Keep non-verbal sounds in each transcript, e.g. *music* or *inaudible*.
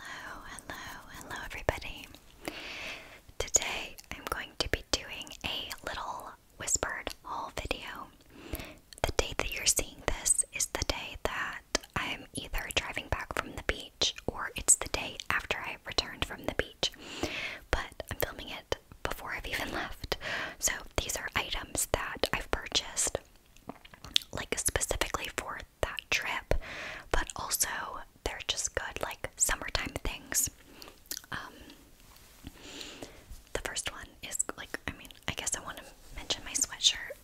Hello, hello, hello everybody. Today I'm going to be doing a little whispered haul video. The day that you're seeing this is the day that I'm either driving back from the beach or it's the day after I returned from the beach. But I'm filming it before I've even *laughs* left. So these are items that I've purchased like specifically for that trip, but also they're just good like summertime things. Um, the first one is like I mean I guess I want to mention my sweatshirt.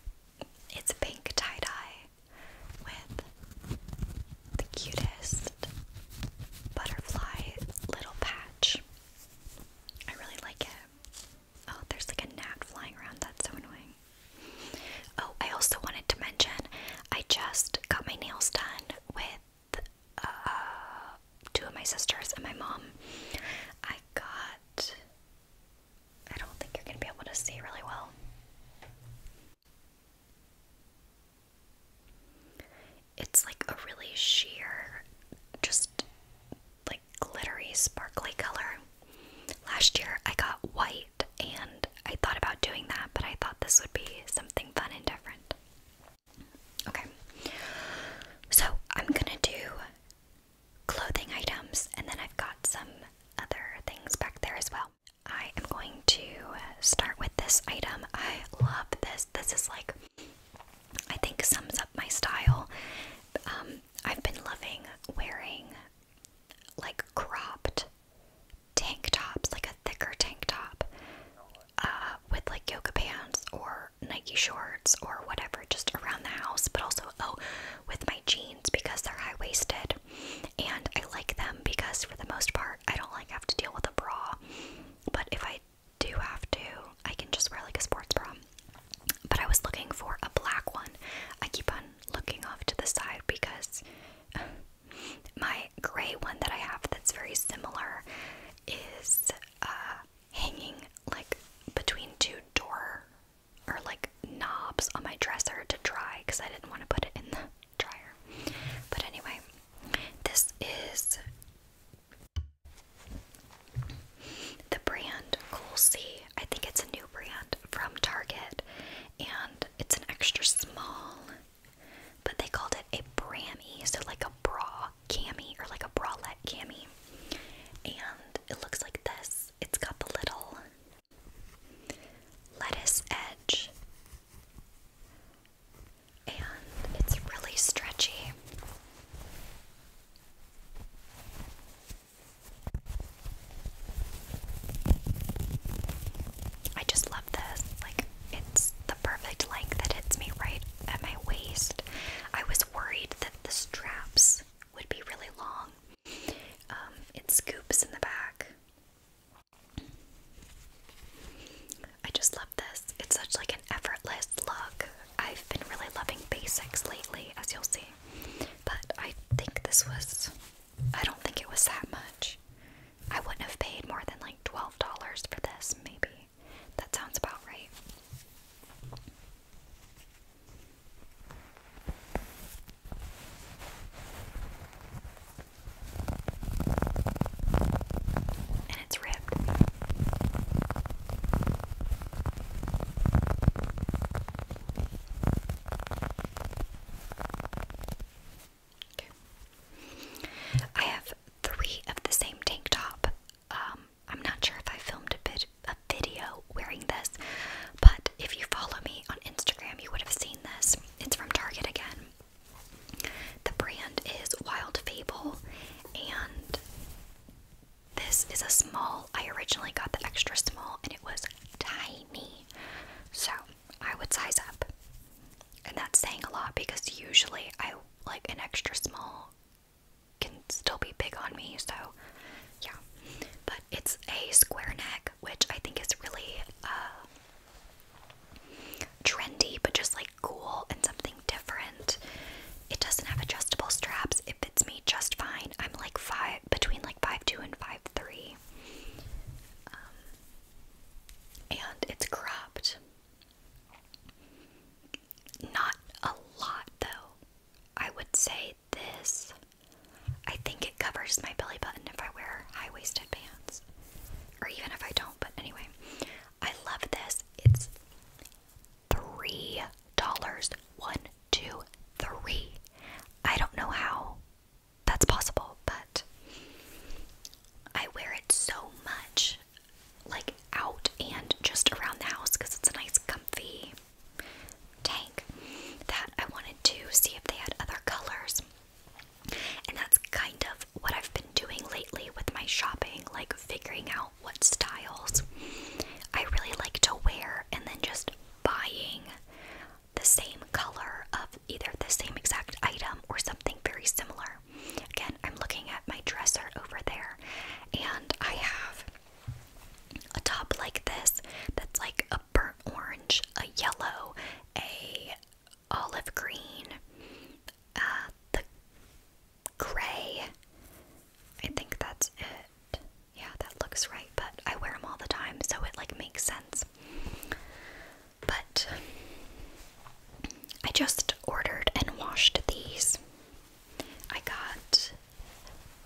It's pink tie dye with the cutest butterfly little patch. I really like it. Oh, there's like a gnat flying around. That's so annoying. Oh, I also wanted to mention I just got my nails done with uh, two of my sisters and my mom. I got. I don't think you're going to be able to see really well. It's like a really sheer, just like glittery, sparkly color. Last year I got white and I thought about doing that, but I thought this would be something fun and different. Okay, so I'm gonna do clothing items, and then I've got some other things back there as well. I am going to start with this item. I love this. This is like, I think, sums up my style. Um, I've been loving wearing like cropped tank tops, like a thicker tank top, uh, with like yoga pants or Nike shorts or whatever, just around the house. But also, oh, with my jeans because they're high waisted, and I like them because for the most part, I don't like have to deal with a bra. But if I do have to, I can just wear like a sports bra. But I was looking for a black one. I keep on looking off to the side because *laughs* my gray one that I have that's very similar is uh, hanging like between two door or like knobs on my dresser to dry because I didn't want to put it in the dryer. But anyway, this is the brand Cool C. I think it's a new brand from Target, and it's an extra small, but they called it a Brammy, so like a bra cami or like a bralette cami. And it looks like this it's got the little lettuce edge, and it's really stretchy. I just love this. Like, it's the perfect length that hits me right at my waist. I was worried that the straps would be really long. Um, it scoops in the back. I just love this. It's such like an effortless look. I've been really loving basics lately, as you'll see. But I think this was I don't think it was that much. I wouldn't have paid more than like $12 for this, maybe. That sounds about right. And it's ripped. I have three of the same tank top. Um, I'm not sure if I filmed a bit a video wearing this, but if you follow me on Instagram, you would have seen this. It's from Target again. The brand is Wild Fable, and this is a small. I originally got the extra small, and it was tiny. So I would size up. And that's saying a lot because usually I like an extra small can still be big on me. So yeah. But it's a square neck, which I think is really uh, trendy, but just like cool and something different. It doesn't have adjustable straps. It fits me just fine. I'm like five between like five two and five three. Um, and it's cropped. Not a lot though. I would say this. I think it covers my belly button if I wear high waisted pants. Or even if I don't, but anyway. I love this. It's three dollars. One, two, three. I don't know how that's possible, but I wear it so much, like out and just around the house because it's a nice, comfy tank that I wanted to see if they had other colors. And that's kind of what I've been doing lately with my shopping, like figuring out what styles I really like to wear and then just buying the same color of either the same exact item or something very similar. Again, I'm looking at my dresser over there, and I have a top like this that's like a burnt orange, a yellow, a olive green, uh, the gray. I think that's it. Yeah, that looks right, but I wear them all the time, so it like makes sense. But I just ordered and washed these. I got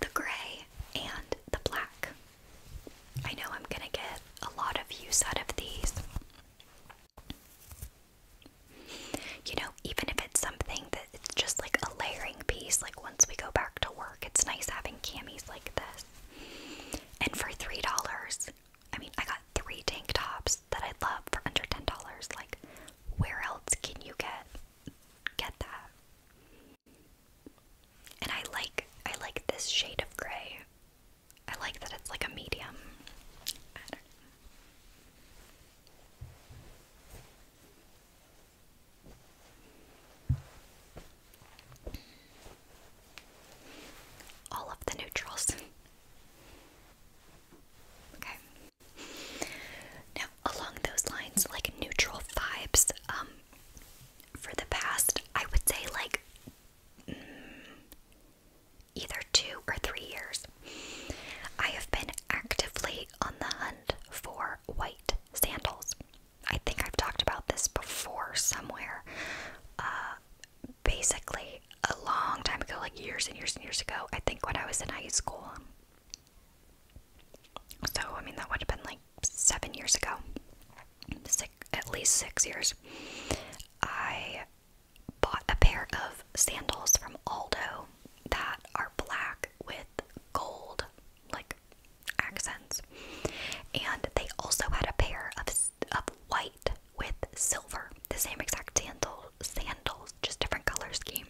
the gray and the black. I know I'm gonna get a lot of use out of these. You know, even if it's something that it's just like a layering piece, like once we go back to work, it's nice having camis like this. And for $3, I mean, I got three tank tops that I love for under $10. Like, where else can you get get that? And I like I like this shade of gray. I like that it's like a medium. All of the neutrals. *laughs* okay. Now, along those lines, like neutral vibes, um, for the past, I would say like mm, either two or three years, I have been actively on the hunt for white sandals. I think I've talked about this before somewhere. Uh, basically, a long time ago, like years and years and years ago, I think when I was in high school. So, I mean, that would have been like seven years ago, six, at least six years. I bought a pair of sandals from Aldo that are black with gold like accents. And they also had a pair of of white with silver, the same exact sandal sandals, just different color scheme.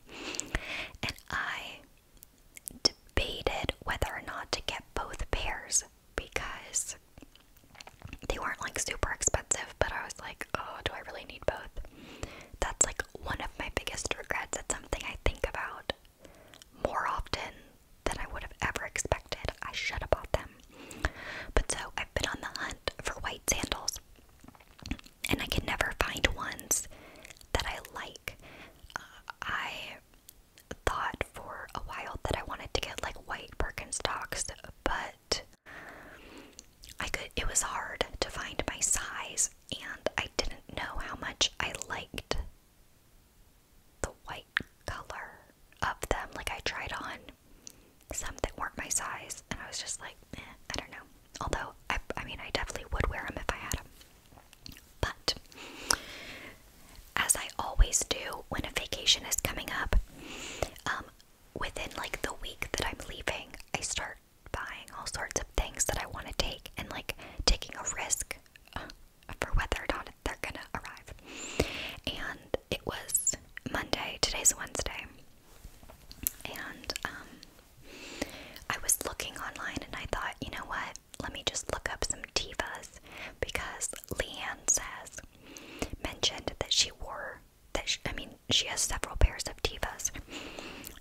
And I debated whether or not to get both pairs because they weren't like super expensive, but I was like, oh, do I really need both? That's like one of my biggest regrets. It's something I think about more often that I would have ever expected. I should have bought them. But so I've been on the hunt for white sandals, and I can never find ones that I like. Uh, I thought for a while that I wanted to get like white Birkenstocks, but I could. It was hard to find my size, and I didn't know how much I liked the white color of them. Like I tried on some that weren't my size, and I was just like, eh, I don't know. Although I, I mean, I definitely would wear them if I had them. But as I always do when a vacation is coming up, um, within like the week that I'm leaving, I start buying all sorts of things that I want to take and like taking a risk for whether or not they're gonna arrive. And it was Monday. Today's Wednesday, and um, I was looking online, and I thought, you know what? Let me just look up some divas because Leanne has mentioned that she wore that she, I mean she has several pairs of divas,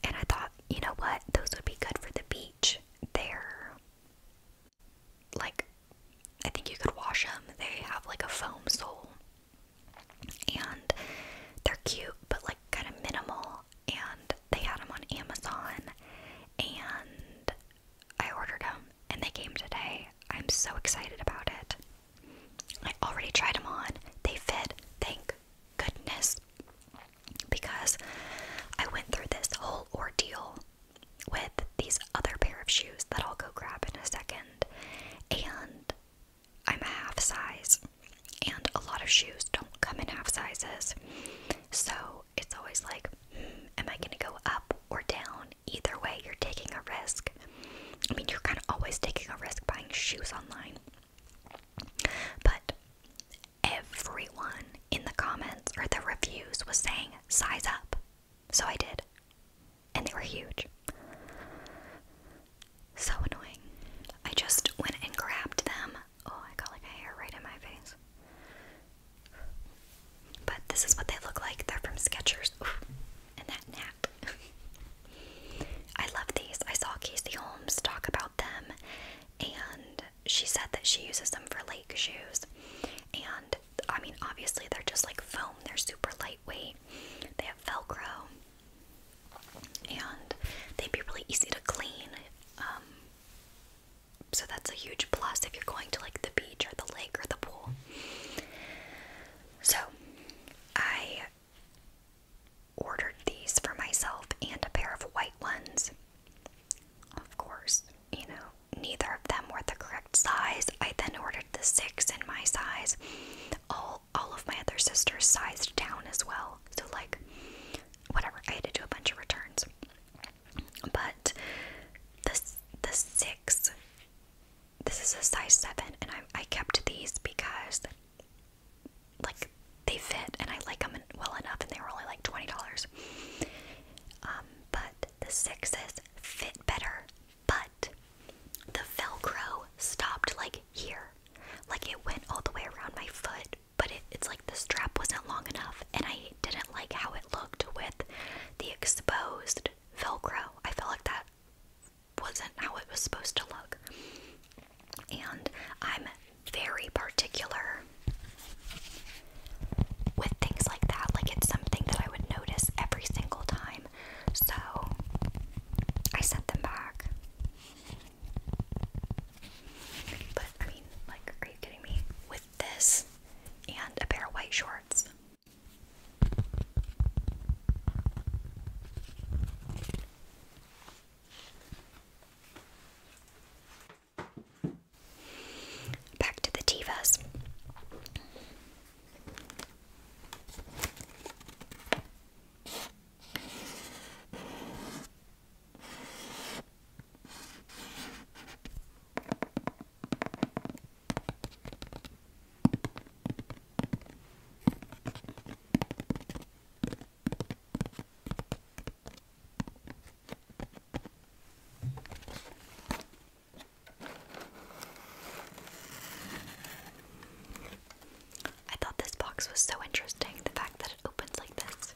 and I thought you know what those would be good for the beach. there like I think you could wash them. They have like a foam sole. And they're cute, but like kind of minimal. And they had them on Amazon. And I ordered them and they came today. I'm so excited about it. I already tried them on. They fit. Thank goodness because I went through this whole ordeal with these other pair of shoes that I'll go grab in a second, and I'm a half size, and a lot of shoes don't come in half sizes, so it's always like, hmm, am I gonna go up or down? Either way, you're taking a risk. I mean, you're kind of always taking a risk buying shoes online, but everyone in the comments or the reviews was saying size up. So I did. And they were huge. So annoying. I just went and grabbed them. Oh, I got like a hair right in my face. But this is what they look like. They're from Skechers. Ooh, and that nap. *laughs* I love these. I saw Casey Holmes talk about them, and she said that she uses them for lake shoes. And I mean, obviously, they're just like foam, they're super lightweight, they have Velcro, and they'd be really easy to clean. Um, so that's a huge plus if you're going to like the beach or the lake or the pool. So I ordered these for myself and a pair of white ones. Of course, you know, neither of them were the correct size. I then ordered the six in my size. All all of my other sisters sized down as well. So like whatever, I had to do a bunch of returns. But this the six this is a size seven and I I kept these because like they fit and I like them well enough, and they were only like twenty dollars. Um, but the sixes fit better, but the Velcro stopped like here, like it went all the way around my foot. But it, it's like the strap wasn't long enough, and I didn't like how it looked with the exposed Velcro. I felt like that wasn't how it was supposed to look. And I'm very particular with things like that. Like, it's something that I would notice every single time. So, I sent them back. But, I mean, like, are you kidding me? With this and a pair of white shorts. Back to the divas. I thought this box was so interesting, the fact that it opens like this.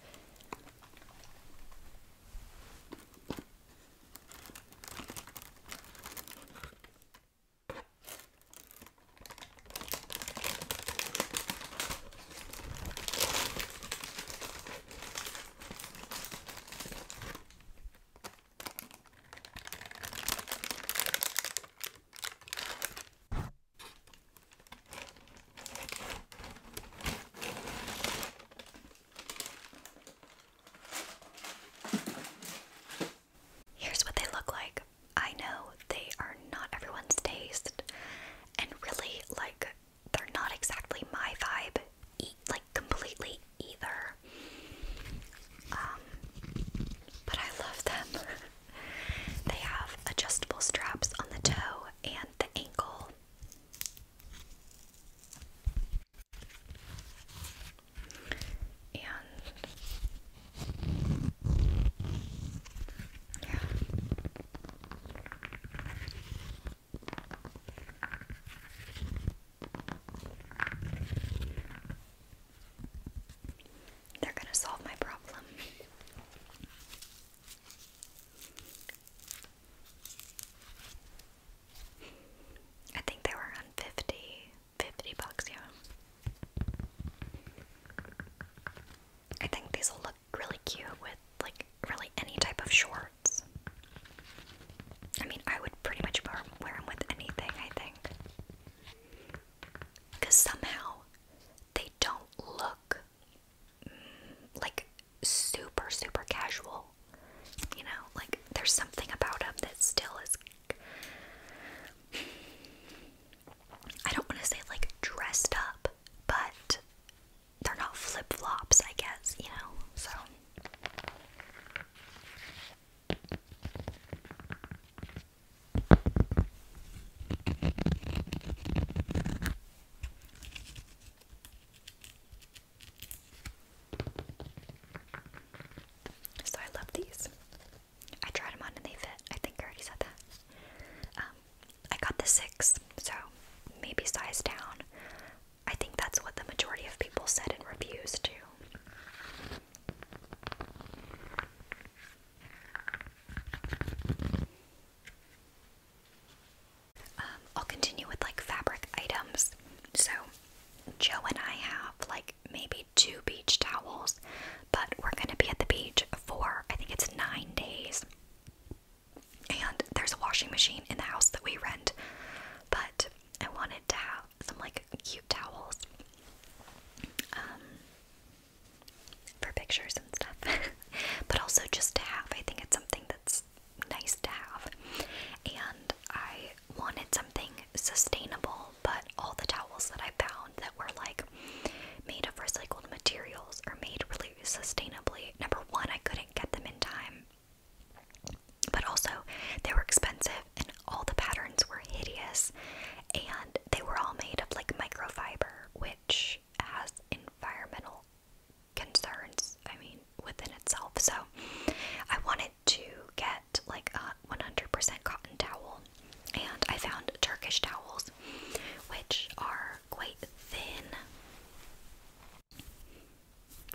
Here's what they look like. I know they are not everyone's taste, and really, like, they're not exactly my vibe, e like completely either. Um, but I love them. *laughs* they have adjustable straps on the toe and the ankle. And yeah. They're going to solve my problem. I think they were on 50, bucks, yeah. I think these will look really cute with like really any type of shorts. I mean, I would pretty much wear, them with anything, I think. Because somehow they don't look mm, like super, super casual. You know, like there's something about them that still is. I don't want to say like dressed up, but they're not flip flops, I guess, you know? So. So I love these. I tried them on and they fit. I think I already said that. Um, I got the six, so maybe size down. I think that's what the majority of people said in reviews too. Um, I'll continue with like fabric items. So, Joe and I have like maybe two beach towels, but we're gonna be at the beach for I think it's nine days. And there's a washing machine in the house that we rent, but I wanted to have some like cute towels um, for pictures and stuff, *laughs* but also just to have. I think it's something that's nice to have. And I wanted something sustainable, but all the towels that I found that were like made of recycled materials or made really sustainably. Number one, I couldn't get them in time, but also they were expensive and all the patterns were hideous and they were all made of like microfiber, which has environmental concerns, I mean, within itself. So I wanted to get like a 100% cotton towel and I found Turkish towels, which are quite thin.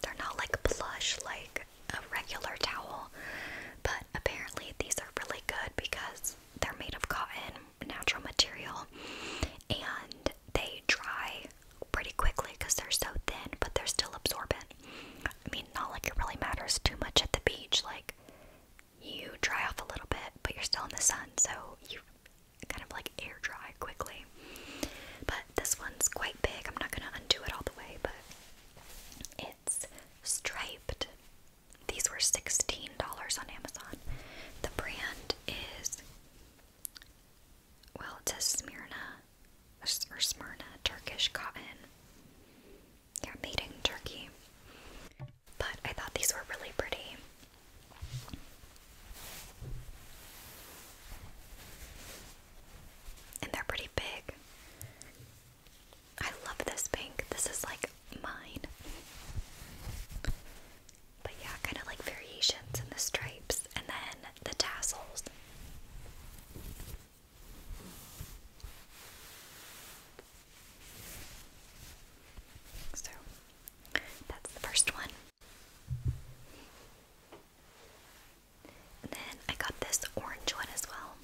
They're not like plush like a regular towel, but apparently these are really good because they're made of cotton, natural material, and they dry pretty quickly because they're so thin, but they're still absorbent. I mean, not like it really matters too much at the beach, like you dry off a little bit, but you're still in the sun, so you kind of like air dry quickly. But this one's quite big. I'm not going to undo it all the way, but it's striped. These were $16 on Amazon. The brand is, well, it says Smyrna or Smyrna Turkish cotton. Yeah, made in Turkey. But I thought these were really pretty. And they're pretty big. I love this pink. This is like mine. But yeah, kind of like variations in the stripes and then the tassels. So that's the first one. And then I got this orange one as well.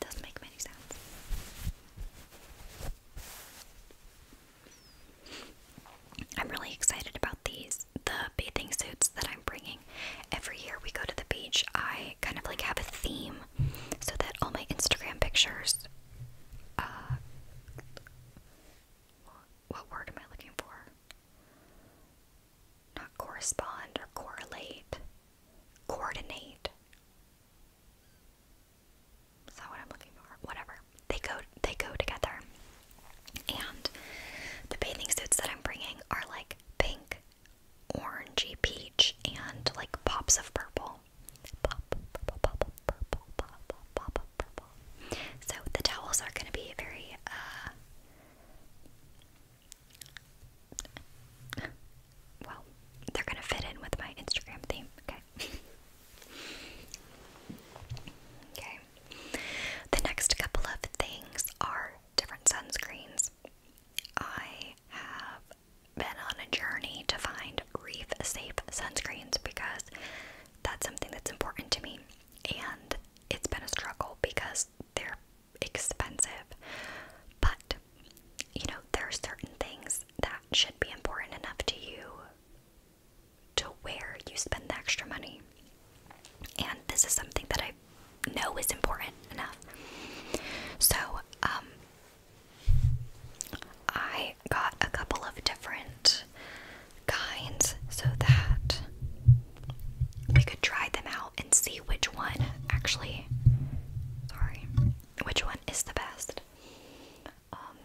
Doesn't make many sounds. I'm really excited about these, the bathing suits that I'm bringing. Every year we go to the beach, I kind of like have a theme so that all my Instagram pictures, uh, what word am I looking for? Not correspond or correlate, coordinate. Is that what I'm looking for? Whatever. They go they go together. And the bathing suits that I'm bringing are like pink, orangey peach, and like pops of purple. So the towels are gonna be very uh, well, they're gonna fit in with my Instagram theme, okay? *laughs* okay. The next couple of things are different sunscreens. I have been on a journey to find reef safe sunscreens because that's something that's important to me, and it's been a struggle because they're expensive. But you know, there are certain things that should be important enough to you to where you spend the extra money. And this is something that I know is important enough. So, um, I got a couple of different kinds so that we could try them out and see which one actually, sorry, which one is the best. Um,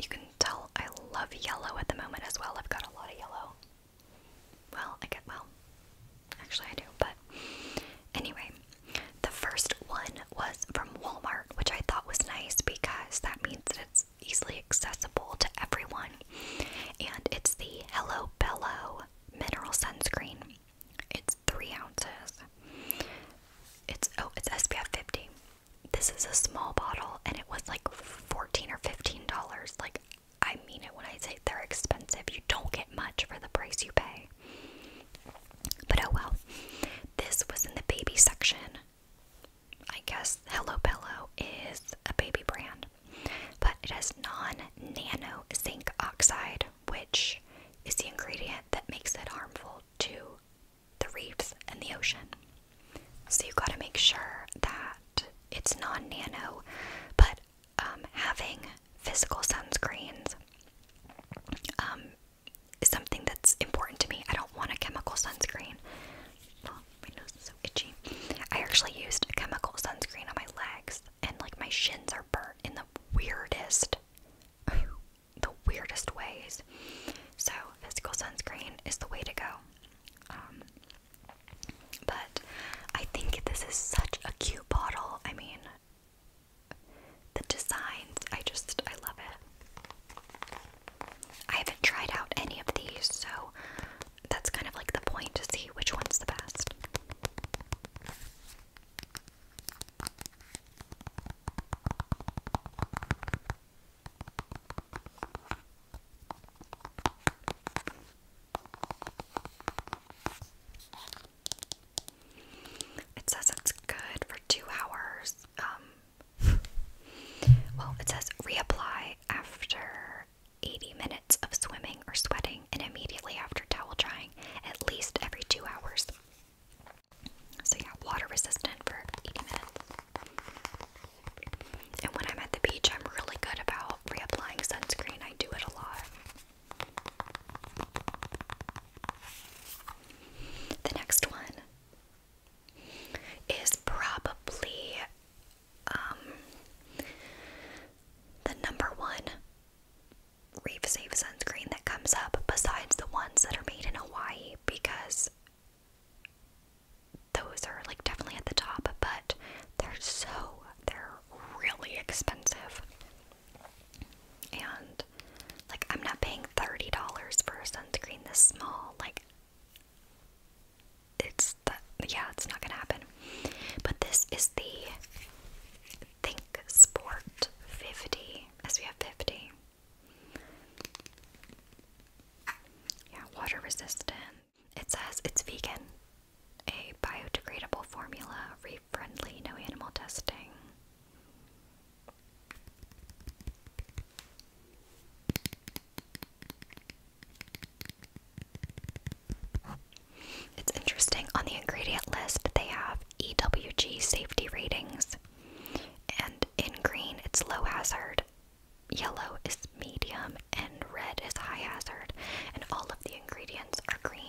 you can tell I love yellow at the moment as well. I've got a lot of yellow. Well, I get well. Actually, I do, but anyway, the first one was from Walmart, which I thought was nice because that means that it's easily accessible to everyone. And it's the Hello Bello mineral sunscreen. It's three ounces. It's oh, it's SPF 50. This is a small bottle and it was like 14 or 15 dollars. Like I mean it when I say they're expensive. You don't get much for the price you pay. But oh well. This was in the baby section. I guess Hello Bello is a baby brand, but it has non-nano zinc oxide, which is the ingredient that makes it harmful to the reefs, and the ocean. So you gotta make sure that it's non nano, but um, having physical sunscreens um, is something that's important to me. I don't want a chemical sunscreen. Oh, my nose is so itchy. I actually used a chemical sunscreen on my legs, and like my shins are burnt in the weirdest the weirdest ways. So, physical sunscreen is the way to go. Um, but I think this is such a cute bottle. I mean, the designs, I just, I love it. I haven't tried out any of these, so that's kind of like the point to see which one's the best. It says it's good for two hours. Um, well, it says reapply after 80 minutes of swimming or sweating and immediately after towel drying, at least every two hours. So yeah, water resistant for 80 minutes. And when I'm at the beach, I'm really good about reapplying sunscreen. I do it a lot. The next one is probably um, the number one reef safe sunscreen that comes up besides the ones that are made in Hawaii because those are like definitely at the top, but they're so they're really expensive. And like I'm not paying $30 for a sunscreen this small. Like it's that yeah, it's not gonna happen. But this is the Think Sport 50 As we have 50. Yeah, water resistant. It says it's vegan, a biodegradable formula, reef friendly, no animal testing. It's interesting on the ingredient list, they have EWG safety ratings, and in green, it's low hazard, yellow is medium, and red is high hazard. And all of the ingredients are green.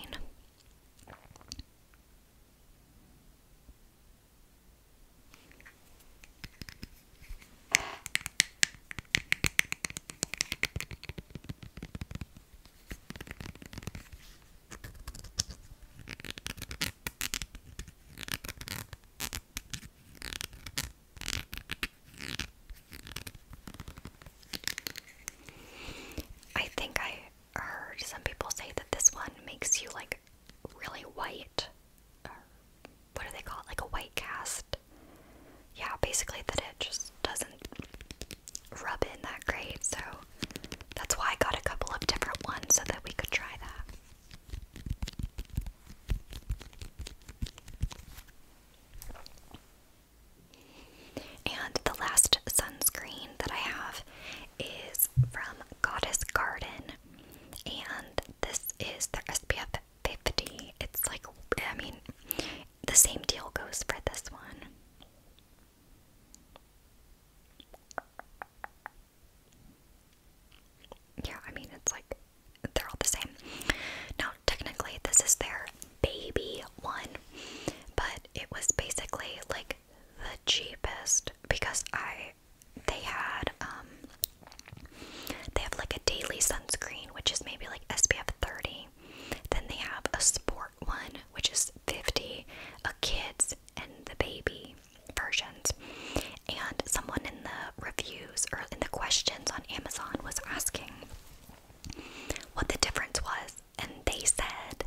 I think I heard some people say that this one makes you like really white. what do they call it? Like a white cast. Yeah, basically that it just doesn't rub in that great. So that's why I got a couple of different ones so that we could try that. And the last sunscreen that I have is from Goddess Garden. And this is their SPF 50. It's like, I mean, the same deal goes for this one. Yeah, I mean, it's like they're all the same. Now, technically, this is their baby one, but it was basically like the cheapest because I they had um they have like a daily sunscreen which is maybe like SPF 30. Then they have a sport one which is 50, a kids and the baby versions. And someone in the reviews or in the questions on Amazon was asking what the difference was, and they said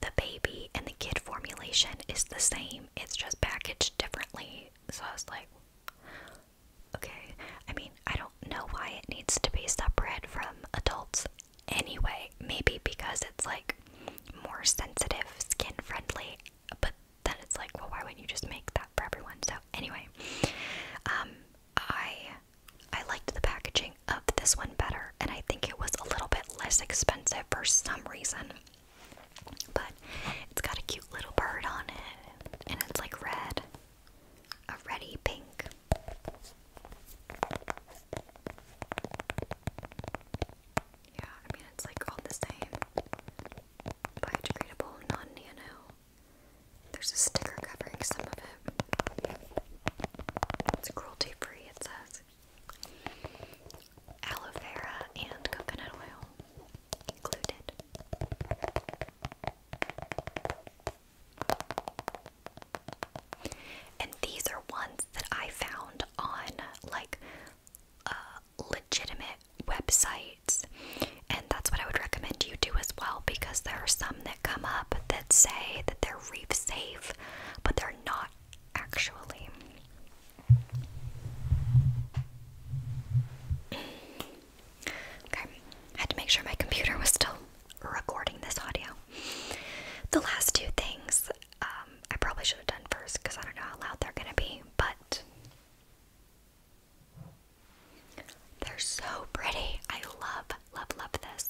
the baby and the kid formulation is the same, it's just packaged differently. So I was like, okay, I mean, I don't know why it needs to be separate from adults anyway. Maybe because it's like more sensitive, skin friendly, but then it's like, well, why wouldn't you just make that for everyone? So anyway, um, I I liked the packaging of this one better, and I think it was a little bit less expensive for some reason. But it's got a cute little bird on it, and it's like red, a reddy pink. Yeah, I mean, it's like all the same. Biodegradable, non nano. There's a sticker covering some of it. It's cruelty free, it says. Aloe vera and coconut oil included. And these are ones that I found on like uh, legitimate websites. And that's what I would recommend you do as well because there are some that come up that say that they're reef safe, but they're not actually. okay, had to make sure my computer was still recording this audio. The last two things um, I probably should have done first because I don't know how loud they're gonna be, but they're so pretty. I love, love, love this.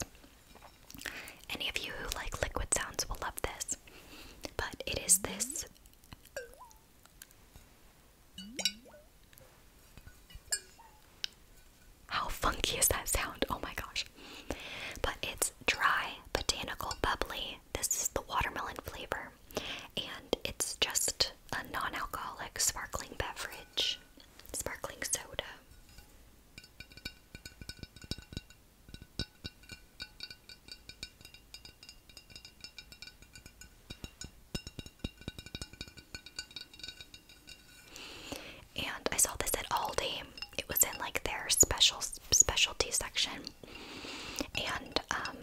Any of you who like liquid sounds will love this. But it is this. How funky is that sound? Oh my gosh. But it's dry, botanical, bubbly this is the watermelon flavor, and it's just a non alcoholic sparkling beverage, sparkling soda. And I saw this at Aldi. It was in like their special specialty section. And um,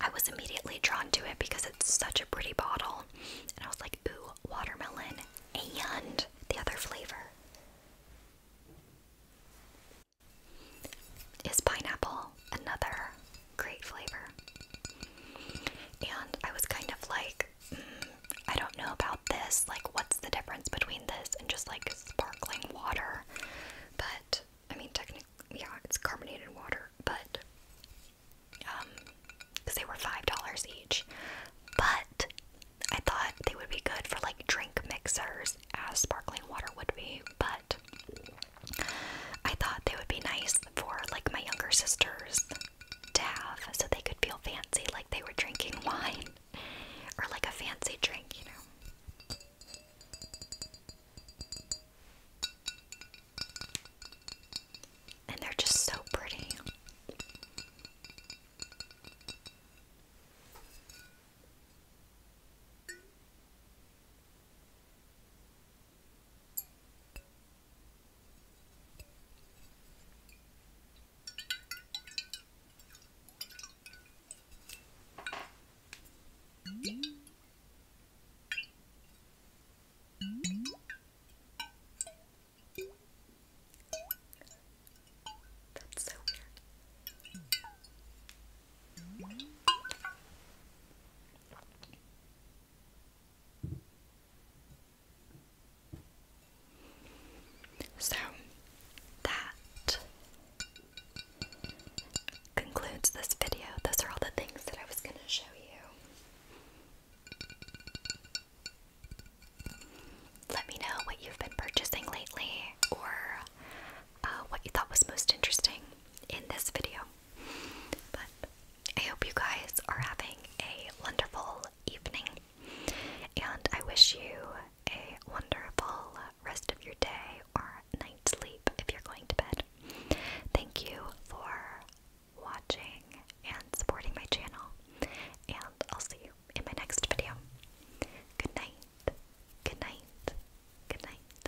I was immediately drawn to it because it's such a pretty bottle. And I was like, ooh, watermelon and the other flavor is pineapple, another great flavor. And I was kind of like, hmm, I don't know about this. Like, what's the difference between this and just like sparkling water? but I mean, technically, yeah, it's carbonated water, but because um, they were five dollars each, but I thought they would be good for like drink mixers, as sparkling water would be, but I thought they would be nice for like my younger sisters to have so they could feel fancy like they were drinking *laughs* wine or like a fancy drink, you know. And they're just so pretty. That's so weird. So that concludes this video. Those are all the things that I was going to show you. Let me know what you've been purchasing lately or uh, what you thought was most interesting in this video. But I hope you guys are having a wonderful evening, and I wish you a wonderful rest of your day or night's sleep if you're going to bed. Thank you for watching and supporting my channel, and I'll see you in my next video. Good night, good night, good night.